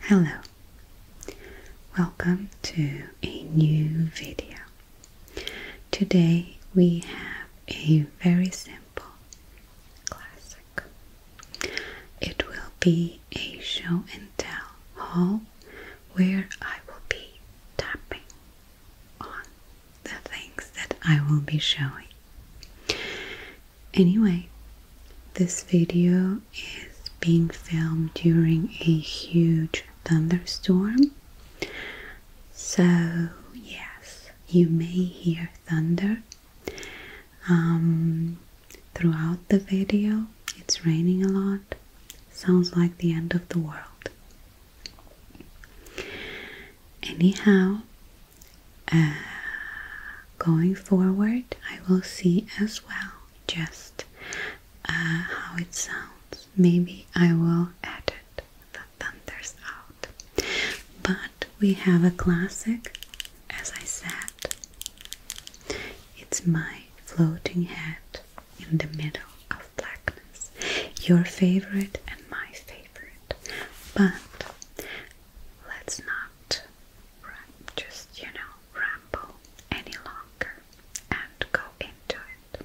Hello, welcome to a new video. Today we have a very simple classic. It will be a show and tell hall where I will be tapping on the things that I will be showing. Anyway, this video is being filmed during a huge thunderstorm. So, yes, you may hear thunder um, throughout the video. It's raining a lot. Sounds like the end of the world. Anyhow, uh, going forward, I will see as well just uh, how it sounds. Maybe I will edit the thunders out. But we have a classic, as I said. It's my floating head in the middle of blackness, your favorite and my favorite. But let's not just, you know, ramble any longer and go into it.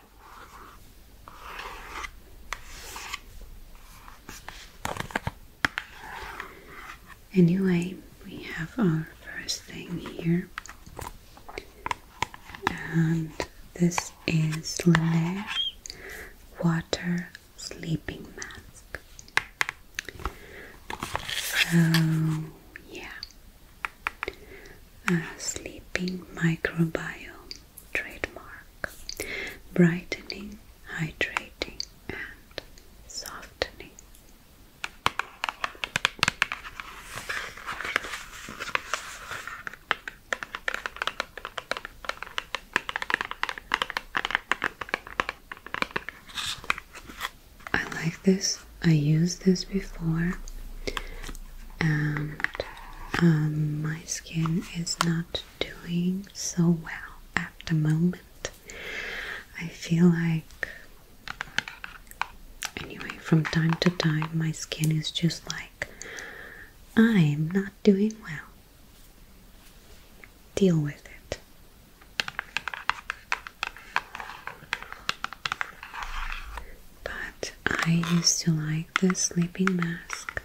Anyway, we have our first thing here, and this is Laneige Water Sleeping Mask. So, yeah, sleeping microbiome trademark, brightening, hydrating, and softening. I like this I used this before and um, my skin is not doing so well at the moment. I feel like, anyway, from time to time, my skin is just like, I'm not doing well. Deal with it. But I used to like the sleeping mask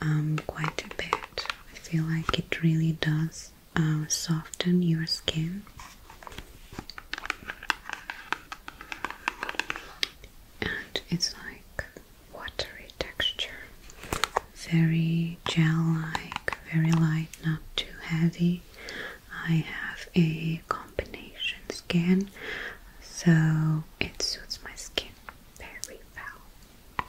um, quite a bit. I feel like it really does uh, soften your skin. And it's like watery texture, very gel like, very light, not too heavy. I have a combination skin, so it suits my skin very well.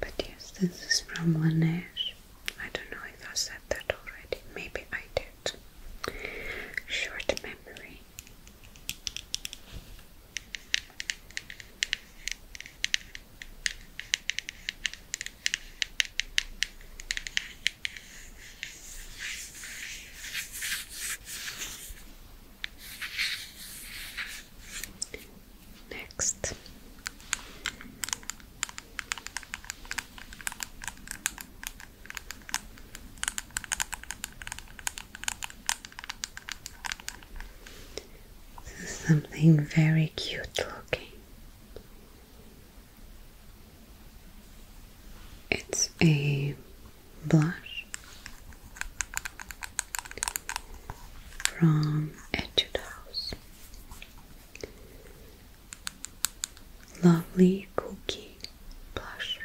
But yes, this is from Laneige. I don't know if I said that already. Maybe I did. Short memory. Next. Something very cute looking. It's a blush from Etude House. Lovely cookie blush.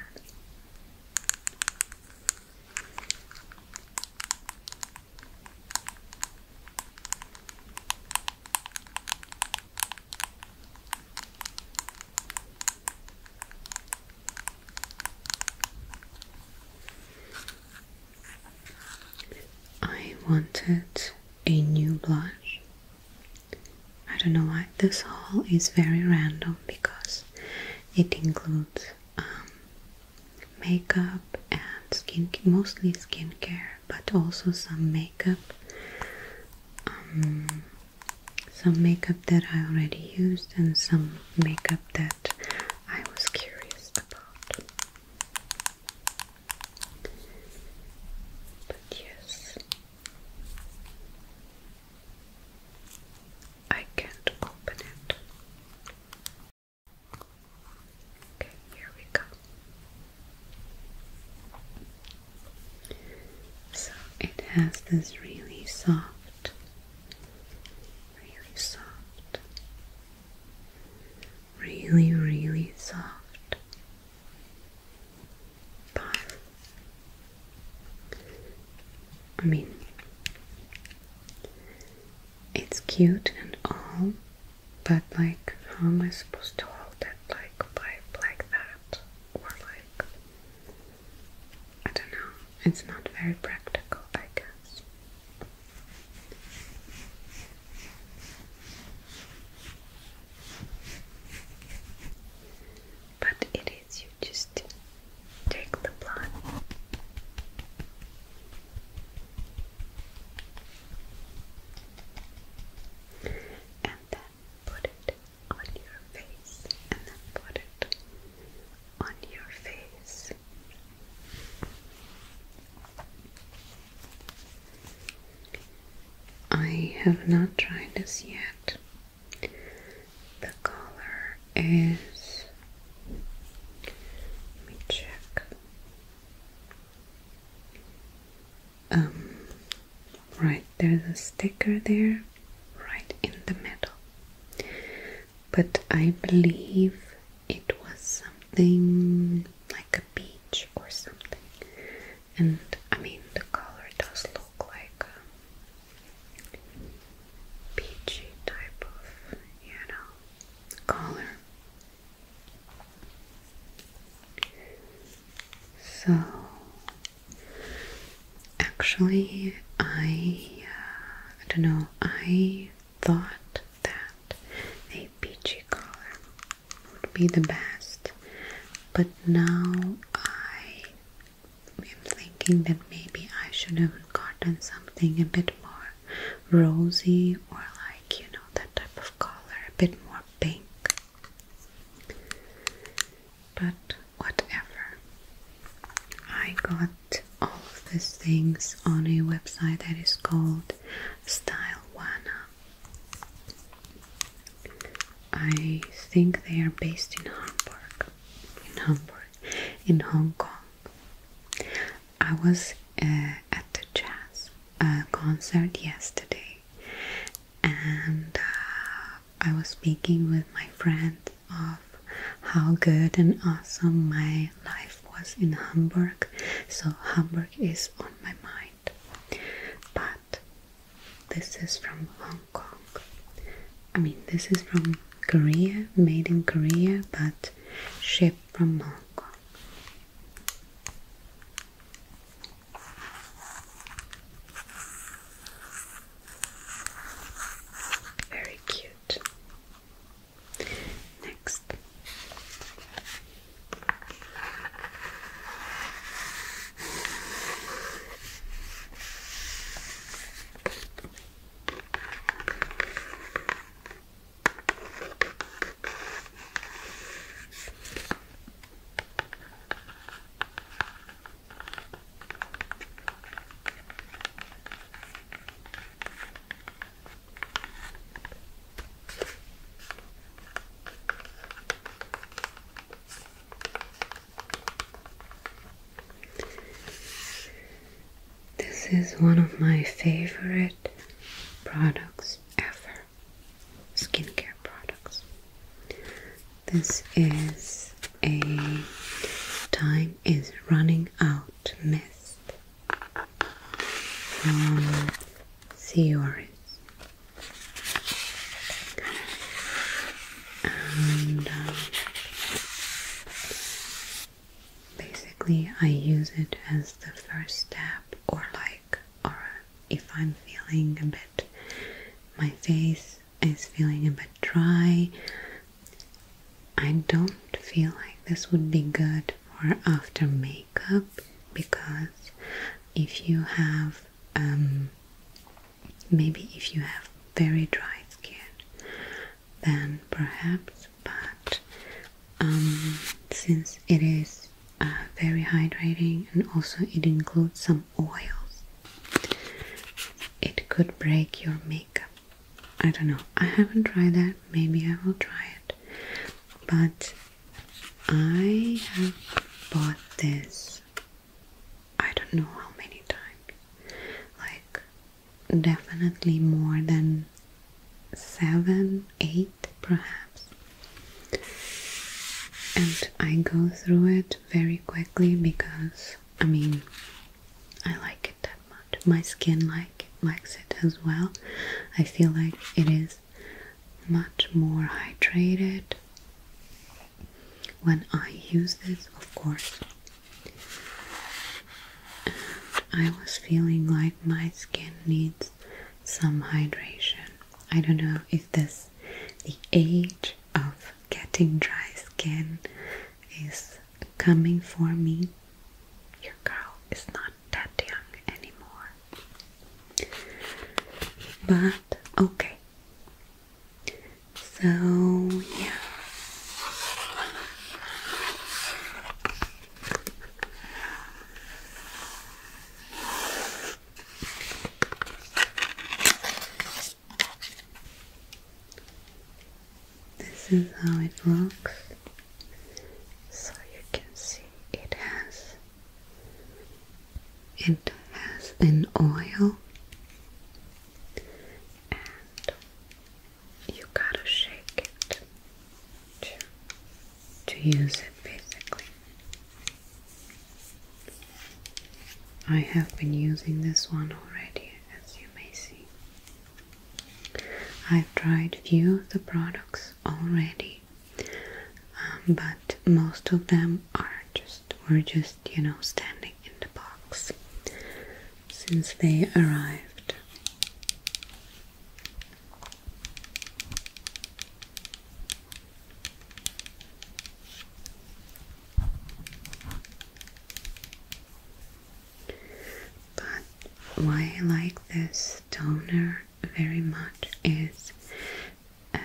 I wanted a new blush. I don't know why this haul is very random because it includes um, makeup and skin, mostly skincare, but also some makeup. Um, some makeup that I already used and some makeup that I was curious about. But yes, I can't open it. Okay, here we go. So it has this really soft, really soft, really, really soft bun. I mean, it's cute and all, but like, how am I supposed to hold it like by like that? Or like I don't know, it's not very practical, I guess. But it is, you just take the blood. And then put it on your face, and then put it on your face. I have not tried this yet. The color is. Let me check. Um, Right, there's a sticker there, right in the middle. But I believe it was something like a beach or something. And I mean, the color does look like a peachy type of, you know, color. So Actually, I uh, I don't know. I thought that a peachy color would be the best, but now I am thinking that maybe I should have gotten something a bit more rosy or like you know that type of color, a bit more pink. But whatever. I got all of these things on a website that is called Stylewana. I think they are based in Hamburg. In Hamburg, in Hong Kong. I was uh, at a jazz uh, concert yesterday, and uh, I was speaking with my friend of how good and awesome my life was in Hamburg. So, Hamburg is on my mind. But this is from Hong Kong. I mean, this is from Korea, made in Korea, but shipped from Hong Kong. Very cute. Next. This is one of my favorite products ever skincare products. This is a time is running out mist from sea orris. And um, basically, I use it as the first step, or like, or if I'm feeling a bit my face is feeling a bit dry. I don't feel like this would be good for after makeup because if you have um, maybe if you have very dry skin then perhaps but um, since it is uh, very hydrating and also it includes some oils it could break your makeup. I don't know. I haven't tried that. Maybe I will try it. But I have bought this I don't know how many times. Like definitely more than seven, eight perhaps. And I go through it very quickly because I mean I like it that much. My skin like likes it as well. I feel like it is much more hydrated when I use this, of course. I was feeling like my skin needs some hydration. I don't know if this the age of getting dry skin is coming for me. Your girl is not that young anymore. But okay. So, yeah. This is how it looks. So you can see it has it has an oil and you gotta shake it to, to use it basically. I have been using this one already, as you may see. I've tried few of the products already, um, but most of them are just were just you know standing in the box since they arrived. But why I like this toner very much is um,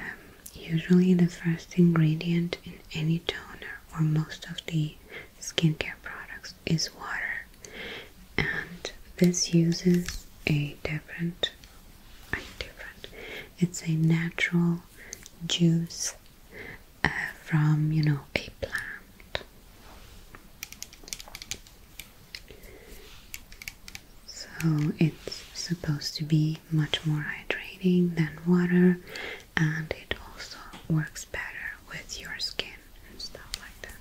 usually the first ingredient in any toner or most of the skincare products is water, and this uses a different, a different. It's a natural juice uh, from you know a plant. So it's supposed to be much more hydrating than water and it also works better with your skin and stuff like that.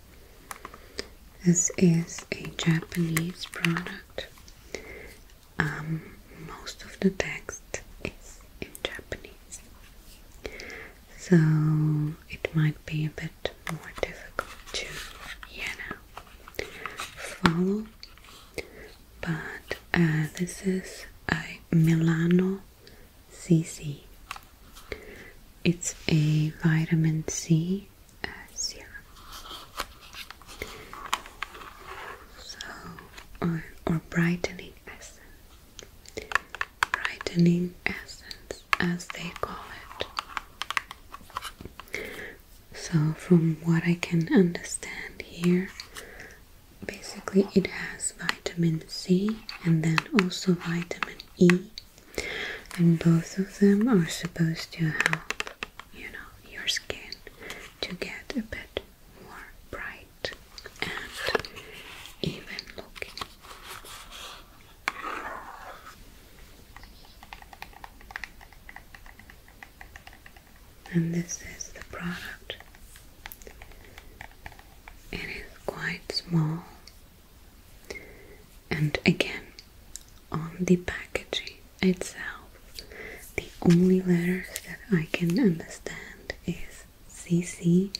This is a Japanese product. Um, most of the text is in Japanese, so it might be a bit more difficult to, follow. But uh, this is a Milano cc. It's a vitamin C uh, serum. So, or, or brightening essence. Brightening essence, as they call it. So, from what I can understand here, basically it has vitamin C and then also vitamin E and both of them are supposed to help you know your skin to get a bit more bright and even looking and this is the product it is quite small and again, on the packaging itself, the only letters that I can understand is CC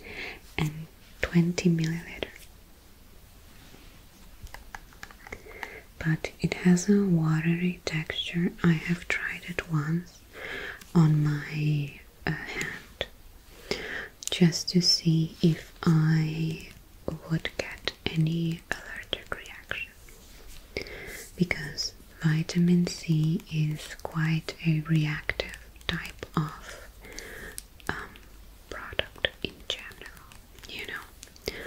and 20 milliliter. But it has a watery texture. I have tried it once on my a hand just to see if I would get any allergic reaction because vitamin C is quite a reactive type of um, product in general, you know.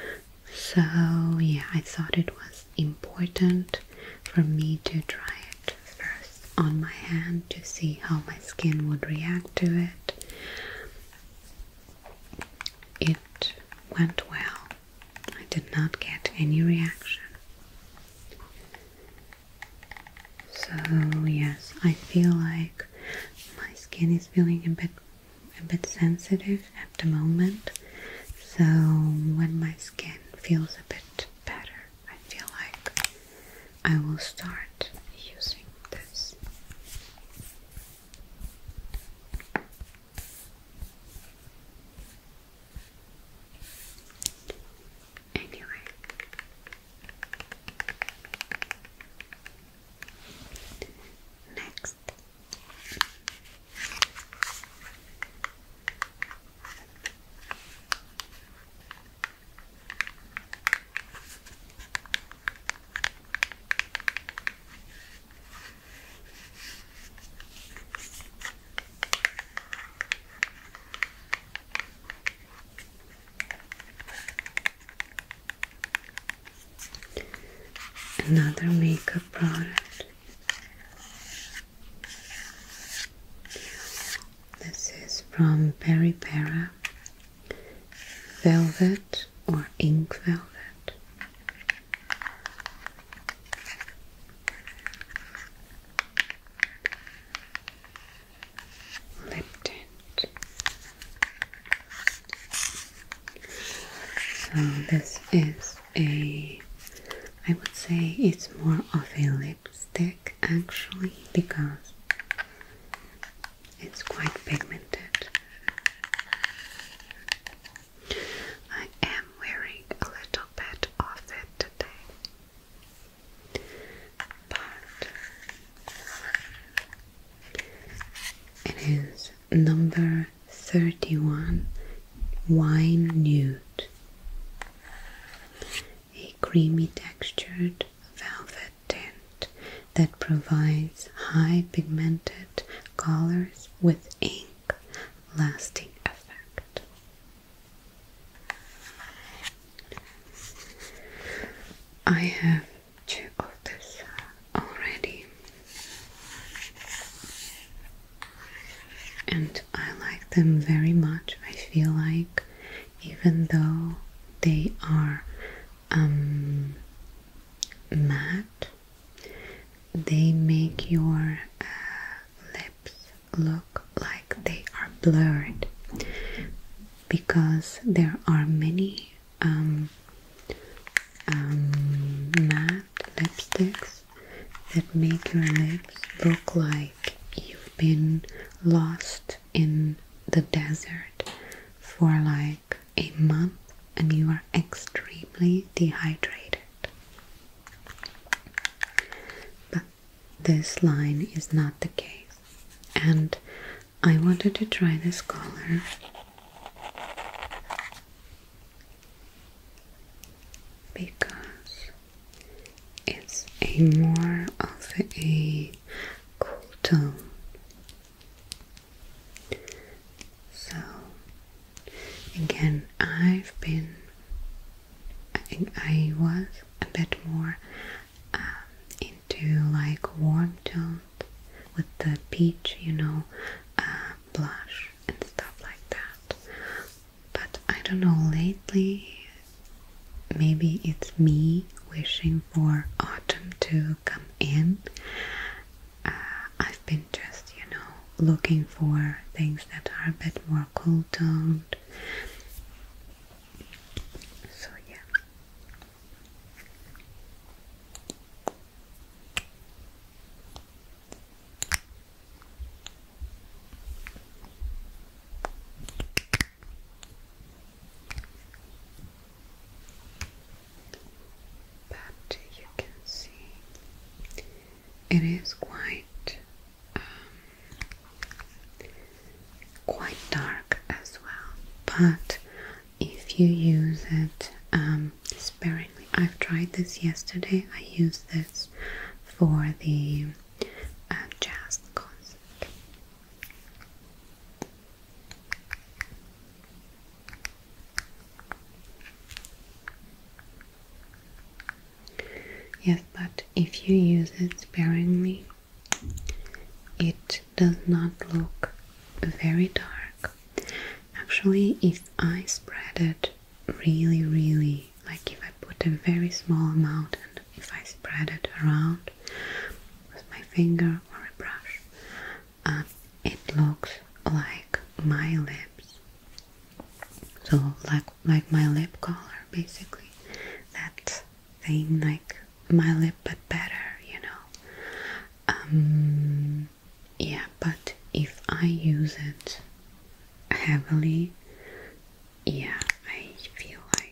So, yeah, I thought it was important for me to try it first on my hand to see how my skin would react to it. It went well. I did not get any reaction. So yes, I feel like my skin is feeling a bit a bit sensitive at the moment. So when my skin feels a bit better, I feel like I will start using this. Anyway, next. Another makeup product. This is from Peripera velvet or ink velvet. Lip So this is a, I would say it's more of a lipstick actually because it's quite pigmented. I am wearing a little bit of it today, but it is number 31 Wine Nude a creamy textured velvet tint that provides high pigmented colors with ink lasting effect. I have two of this already, and I like them very much. I feel like even though they are um, matte, they make your uh, lips look like they are blurred because there are many um, um, matte lipsticks that make your lips look like you've been lost in the desert for like a month and you are extremely dehydrated. But this line is not the case, and I wanted to try this color. Because it's a more of a cool tone. So, again, I've been, I was a bit more um, into like warm tones with the peach, you know, uh, blush and stuff like that. But I don't know, lately maybe it's me wishing for autumn to come in. Uh, I've been just, you know, looking for things that are a bit more cool toned. So, yeah. But you can see it is quite um, quite dark as well. But if you use it um, sparingly, I've tried this yesterday. I used this for the uh, jazz concert. Yes, but if you use it sparingly, it does not look very dark. Actually, if I spread it really, really, like if I put a very small amount if I spread it around with my finger or a brush, um, it looks like my lips. So like like my lip color, basically. That thing like my lip, but better, you know. Um, yeah, but if I use it heavily, yeah, I feel like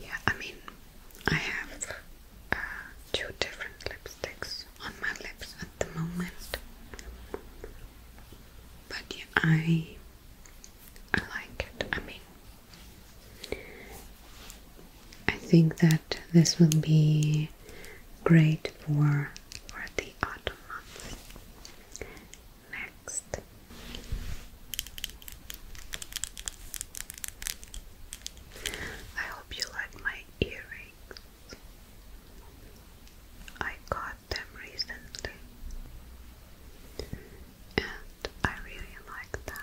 Yeah, I mean, I have uh, two different lipsticks on my lips at the moment, but yeah, I I like it. I mean, I think that this will be great for for the autumn months. Next. I hope you like my earrings. I got them recently and I really like them.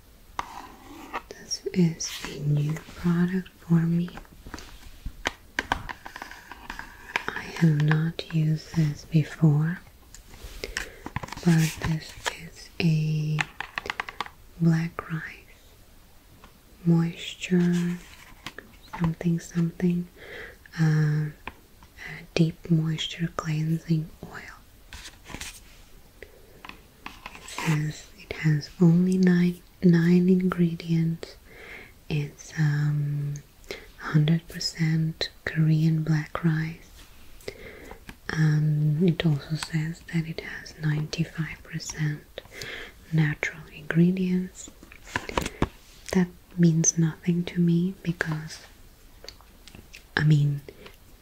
This is a new product for me. I have not used this before, but this is a black rice moisture something something uh, deep moisture cleansing oil. It says it has only nine nine ingredients. It's um, 100% Korean black rice. And um, it also says that it has 95% natural ingredients. That means nothing to me because I mean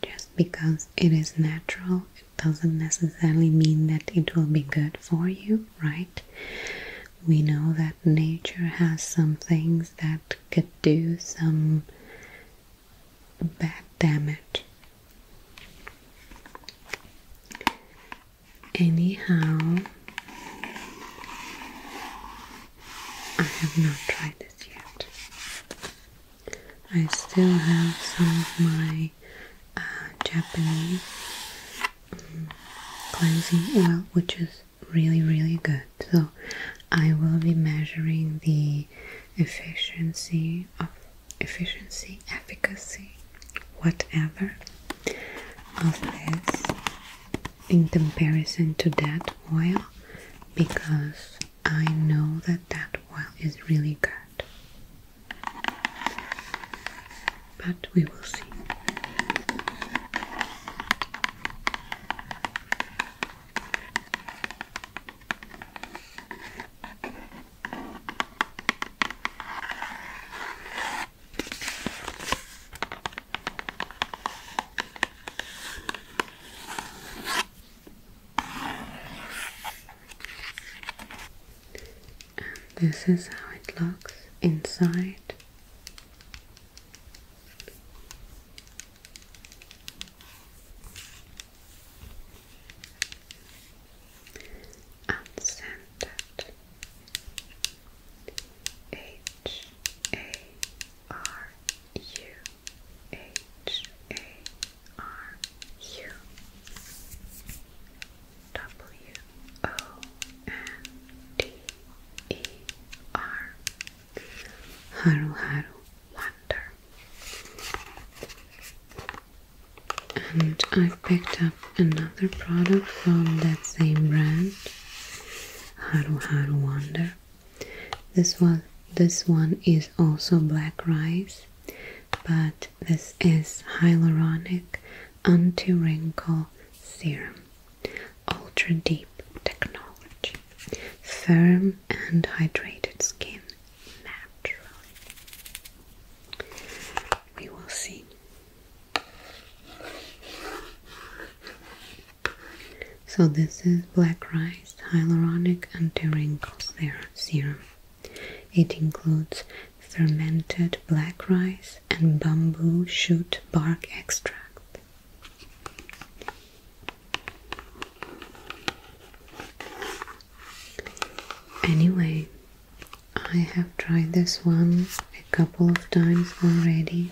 just because it is natural, it doesn't necessarily mean that it will be good for you, right? We know that nature has some things that could do some bad damage. Anyhow, I have not tried this yet. I still have some of my uh, Japanese um, cleansing oil, which is really, really good. So I will be measuring the efficiency of efficiency, efficacy, whatever of this in comparison to that oil because I know that that oil is really good. But we will see. And this is how it looks inside. Unscented H A R U H A R U W O N D E R Haru Haru Wonder. And I picked up another product from that same brand, Haru Haru Wonder. This one, this one is also black rice, but this is hyaluronic anti-wrinkle serum ultra deep technology firm and hydrated skin naturally we will see so this is black rice hyaluronic anti-wrinkle serum it includes fermented black rice and bamboo shoot bark extract. Anyway, I have tried this one a couple of times already.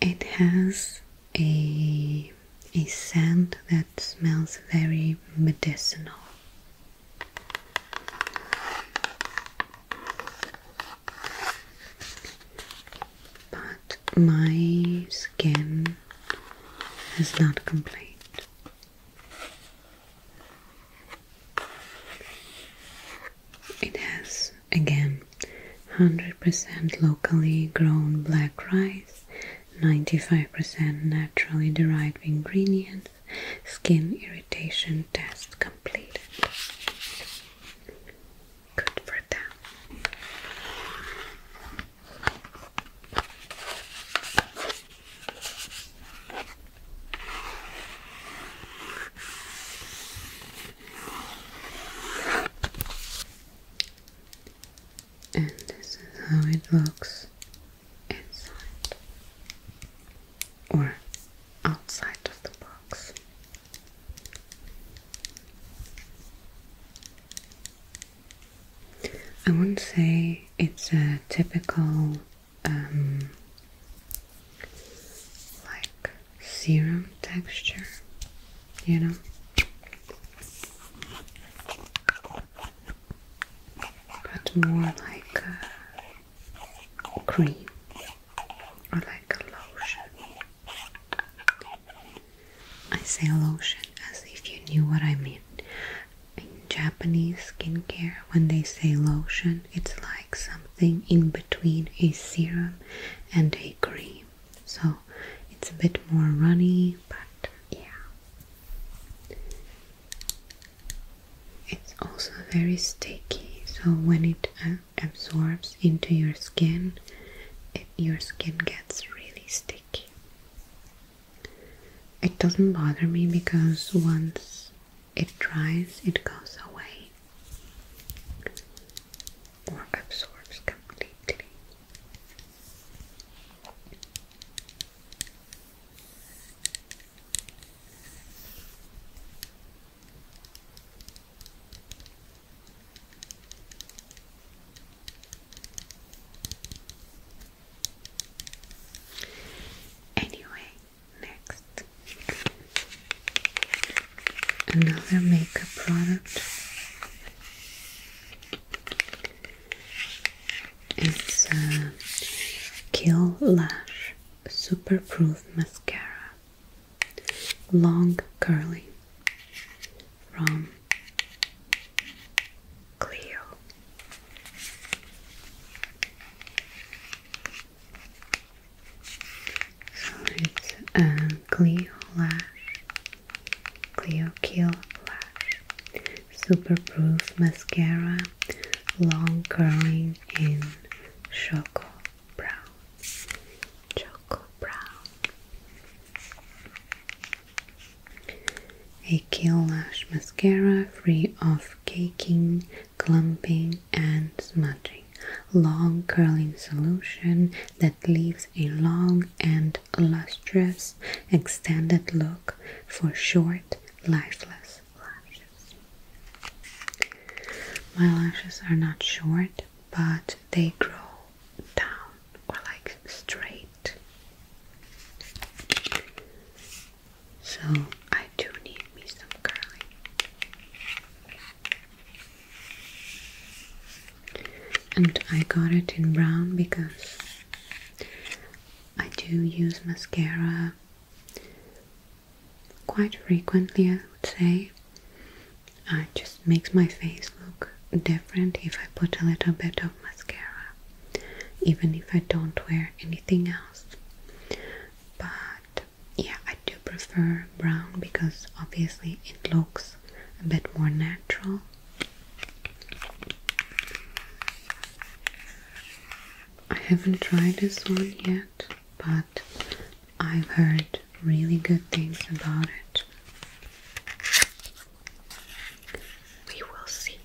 It has a a, scent that smells very medicinal. But my skin has not complained. It has again 100% locally grown black rice 95% naturally derived ingredients, skin irritation test completed. Good for that and this is how it looks inside or outside of the box. I wouldn't say it's a typical um, like serum texture, you know but more like a uh, cream or like a lotion. I say lotion as if you knew what I mean. In Japanese skincare, when they say lotion, it's like something in between a serum and a cream. So it's a bit more runny, but yeah, it's also very sticky, so when it uh, absorbs into your skin, it, your skin gets really sticky. It doesn't bother me because once it dries, it goes away or absorbs completely. Anyway, next another makeup product it's a Kill Lash Super Proof Mascara Long curling from Cleo. So it's a Cleo Lash Cleo Kill Lash Superproof Mascara Long Curling in Choco Brown Choco Brown A Kill Lash Mascara free of caking, clumping and smudging Long curling solution that leaves a long and lustrous extended look for short, lifeless lashes. My lashes are not short, but they grow down or like straight. So I do need me some curling. And I got it in brown because I do use mascara quite frequently, I would say. it just makes my face look different if I put a little bit of mascara, even if I don't wear anything else. But yeah, I do prefer brown because obviously it looks a bit more natural I haven't tried this one yet, but I've heard really good things about it. We will see.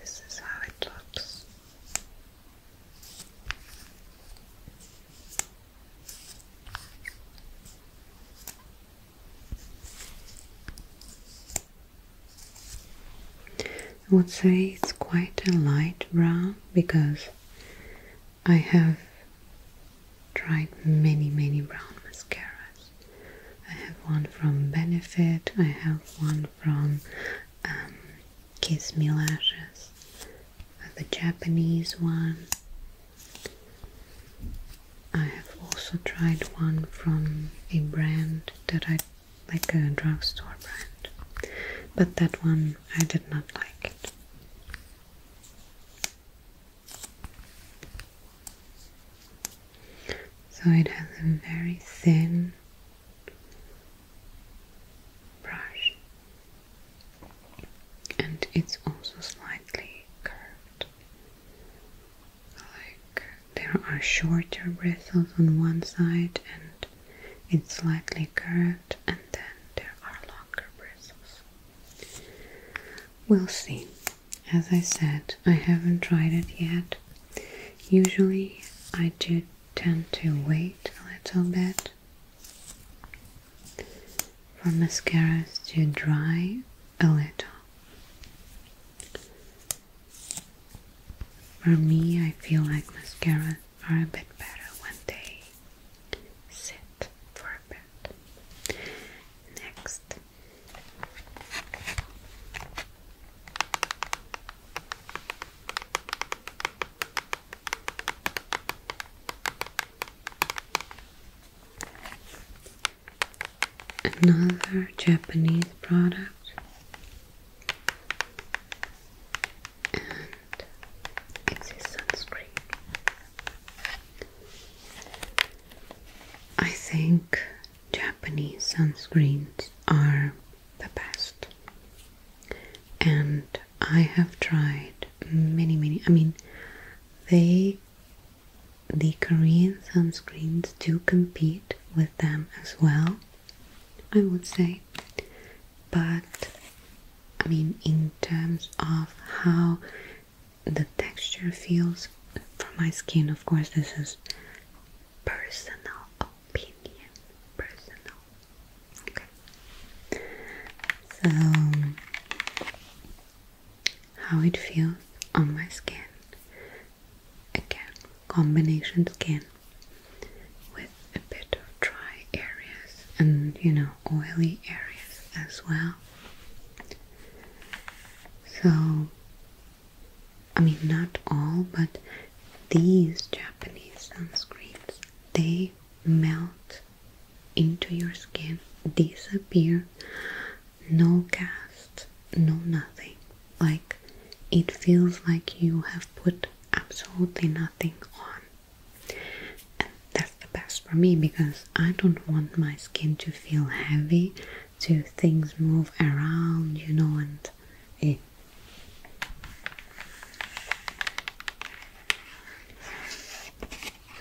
This is how it looks. I would say it's quite a light brown because I have tried many many brown mascaras. I have one from Benefit, I have one from um, Kiss Me Lashes, the Japanese one, I have also tried one from a brand that I like a drugstore brand, but that one I did not like it. So it has a very thin brush and it's also slightly curved. Like there are shorter bristles on one side, and it's slightly curved, and then there are longer bristles. We'll see. As I said, I haven't tried it yet. Usually, I do tend to wait a little bit for mascaras to dry a little. For me, I feel like mascaras are a bit better when they sit for a bit. Next. Another Japanese product, it's a sunscreen. I think Japanese sunscreens are the best, and I have tried many, many. I mean, they, the Korean sunscreens, do compete with them as well, I would say. But I mean, in terms of how the texture feels for my skin, of course, this is personal opinion. Personal so, how it feels on my skin. Again, combination skin with a bit of dry areas and you know, oily areas as well. So, I mean, not all, but these Japanese sunscreens they melt into your skin, disappear, no cast, no nothing. Like it feels like you have put absolutely nothing on. And that's the best for me because I don't want my skin to feel heavy, to things move around, you know, and eh.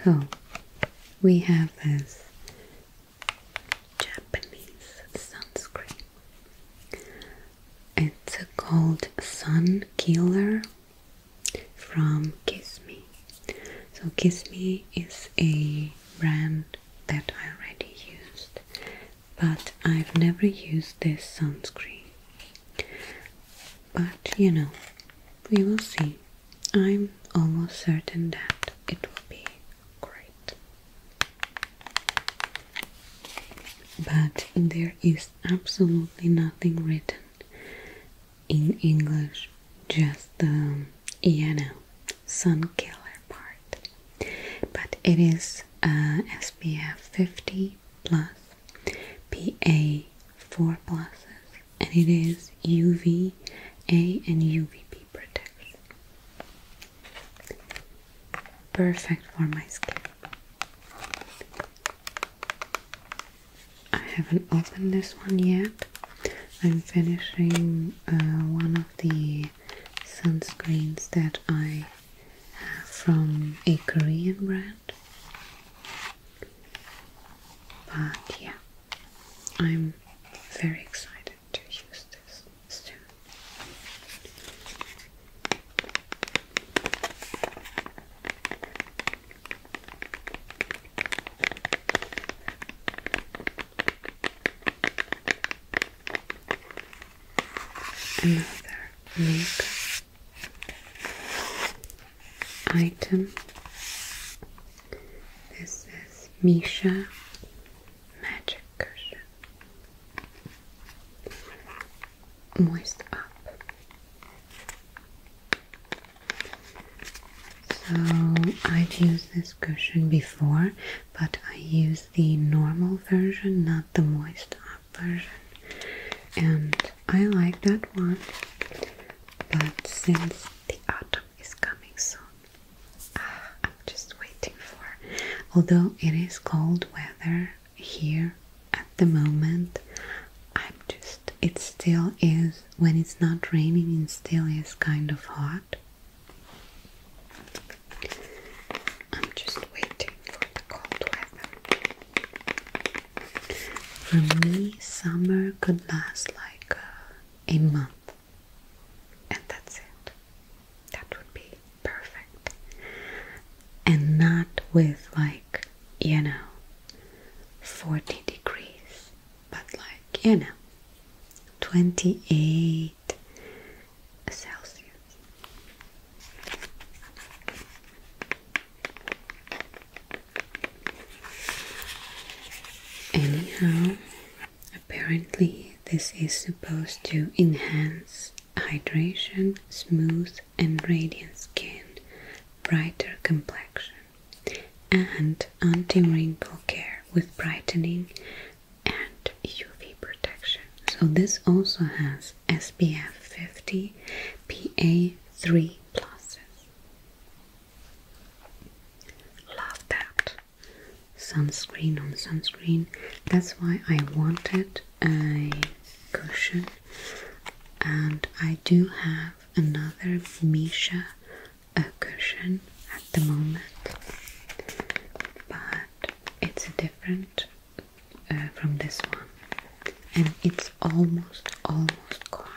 So we have this Japanese sunscreen. It's called Sun Killer from Kiss Me. So Kiss Me is a brand that I already used, but I've never used this sunscreen but you know, we will see. I'm almost certain that it will be great. But there is absolutely nothing written in English, just the, um, you know, sun killer part. But it is uh, SPF 50 plus, PA 4 pluses, and it is UV A and UVB protection. Perfect for my skin. I haven't opened this one yet. I'm finishing uh, one of the sunscreens that I have from a Korean brand. But yeah, I'm very excited to use this Another makeup item. This is Misha Magic Cushion. Moist up. So I've used this cushion before, but I use the normal version, not the moist up version. And I like that one, but since the autumn is coming soon, ah, I'm just waiting for. Although it is cold weather here at the moment, I'm just. It still is when it's not raining. and still is kind of hot. I'm just waiting for the cold weather. For me, summer could last like uh, a month, and that's it. That would be perfect. And not with, like, you know, 40 degrees, but like, you know, 28 Celsius. Anyhow, apparently, this is supposed to enhance hydration, smooth and radiant skin, brighter complexion, and anti wrinkle care with brightening and UV protection. So, this also has SPF 50 PA3 pluses. Love that. Sunscreen on sunscreen. That's why I wanted a cushion. And I do have another Misha a cushion at the moment, but it's different uh, from this one and it's almost, almost gone.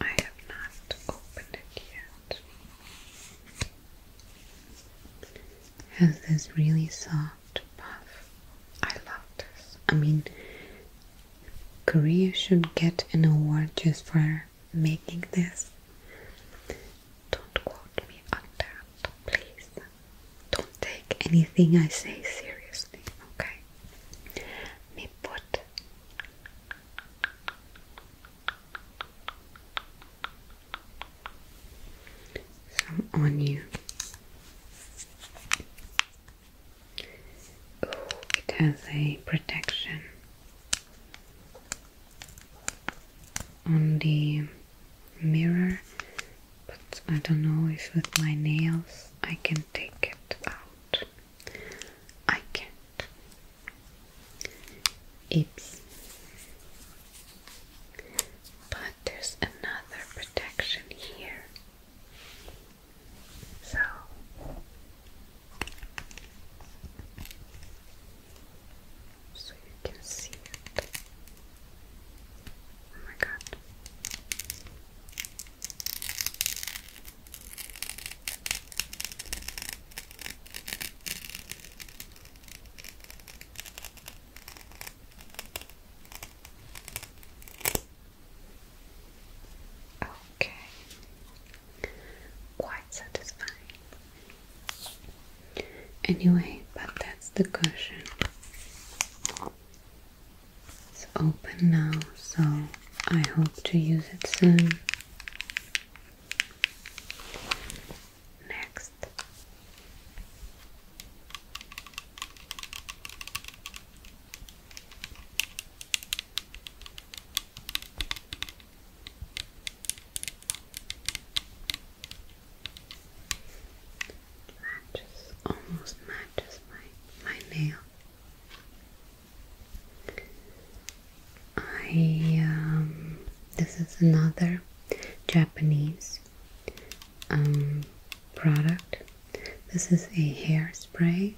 I have not opened it yet. Has this really soft puff. I love this. I mean, Korea should get an award just for making this. Don't quote me on that, please. Don't take anything I say seriously, okay? me put some on you. Ooh, it has a protection on the mirror, but I don't know if with my nails I can take it out. I can't. Oops. But there's another protection here. So so you can see it. Oh my god. Okay, quite satisfying. Anyway, but that's the cushion. It's open now, so I hope to use it soon. Next matches, almost matches my, my nail. I, um, this is another Japanese um, product. This is a hairspray.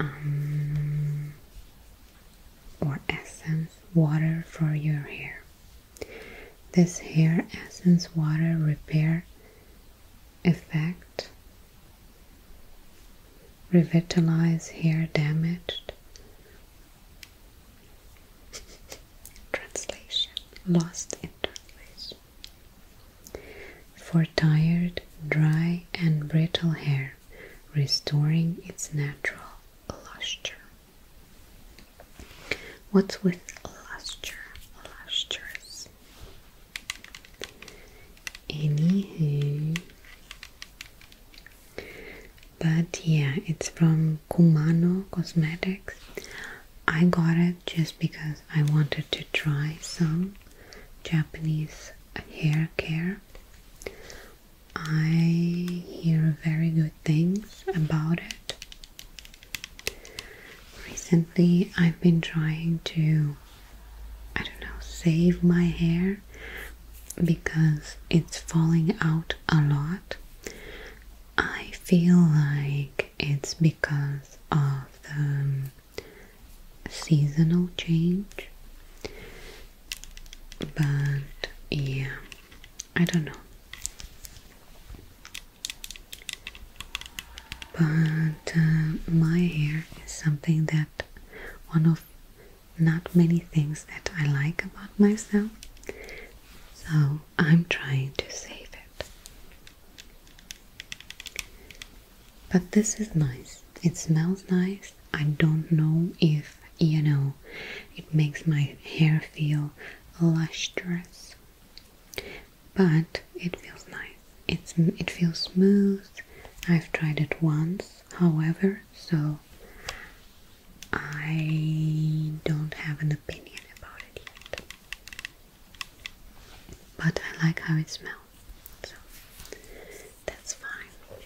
Um, or essence water for your hair this hair essence water repair effect revitalize hair damaged. Translation lost in for tired, dry, and brittle hair, restoring its natural luster. What's with luster? Lustrous. Anywho. But yeah, it's from Kumano Cosmetics. I got it just because I wanted to try some Japanese hair care. I hear very good things about it. Recently, I've been trying to, I don't know, save my hair because it's falling out a lot. I feel like it's because of the um, seasonal change, but yeah, I don't know. But uh, my hair is something that one of not many things that I like about myself. So I'm trying to save it. But this is nice. It smells nice. I don't know if you know it makes my hair feel lustrous but it feels nice it's it feels smooth I've tried it once however so I don't have an opinion about it yet but I like how it smells so that's fine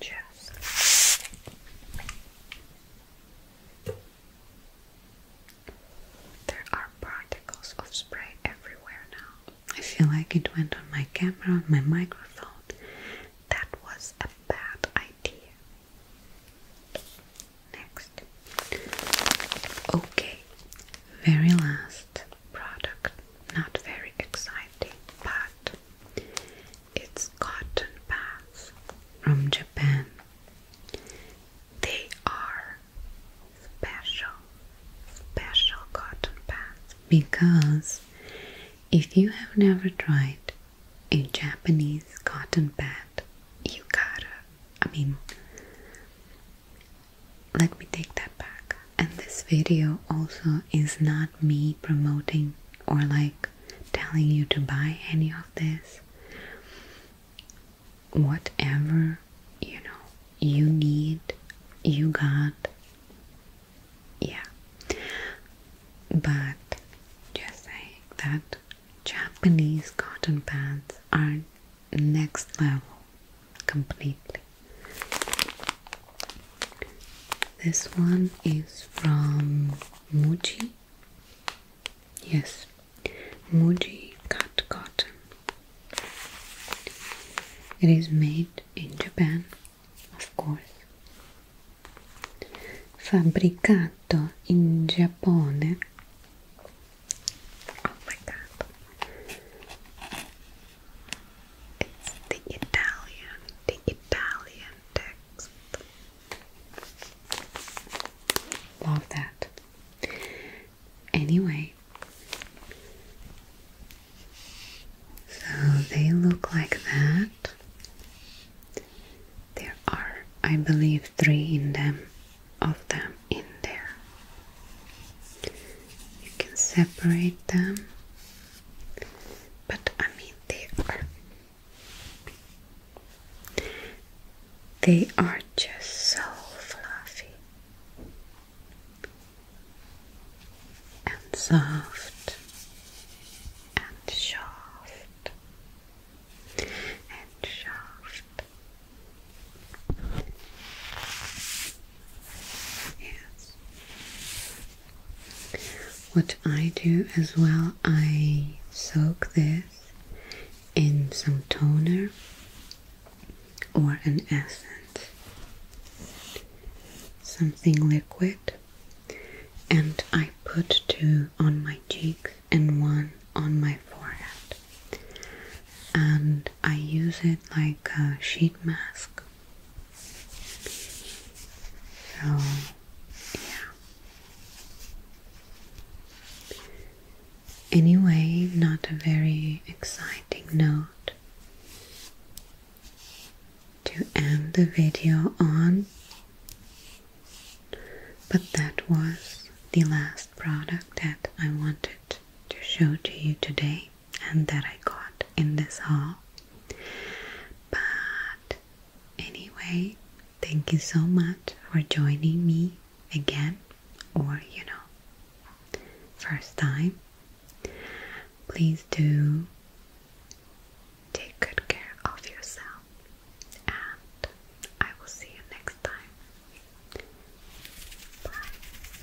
just there are particles of spray everywhere now. I feel like it went on my camera, my microphone. That was a bad idea. Next. Okay, very last product. Not very exciting, but its cotton pads from Japan. They are special, special cotton pads because if you have never tried a Japanese cotton pad, you gotta. I mean, let me take that back. And this video also is not me promoting or like telling you to buy any of this whatever you know you need, you got. Yeah. But just saying that Japanese cotton pads are next level completely. This one is from Muji. Yes, Muji cut cotton. It is made in Japan, of course. Fabbricato in Giappone. Oh my god. It's the Italian, the Italian text. Love that. Anyway, so they look like that. There are, I believe, three in them of them in there. You can separate them, but I mean, they are they are just so fluffy and soft and soft and soft. Yes. What I do as well, I soak this in some toner or an essence, something liquid, and I put two on my cheeks and one on my forehead, and I use it like a sheet mask. So yeah. Anyway, not a very exciting note to end the video on, but that was the last product that I wanted to show to you today and that I got in this haul. But Anyway, thank you so much for joining me again, or you know, first time. Please do take good care of yourself, and I will see you next time. Bye.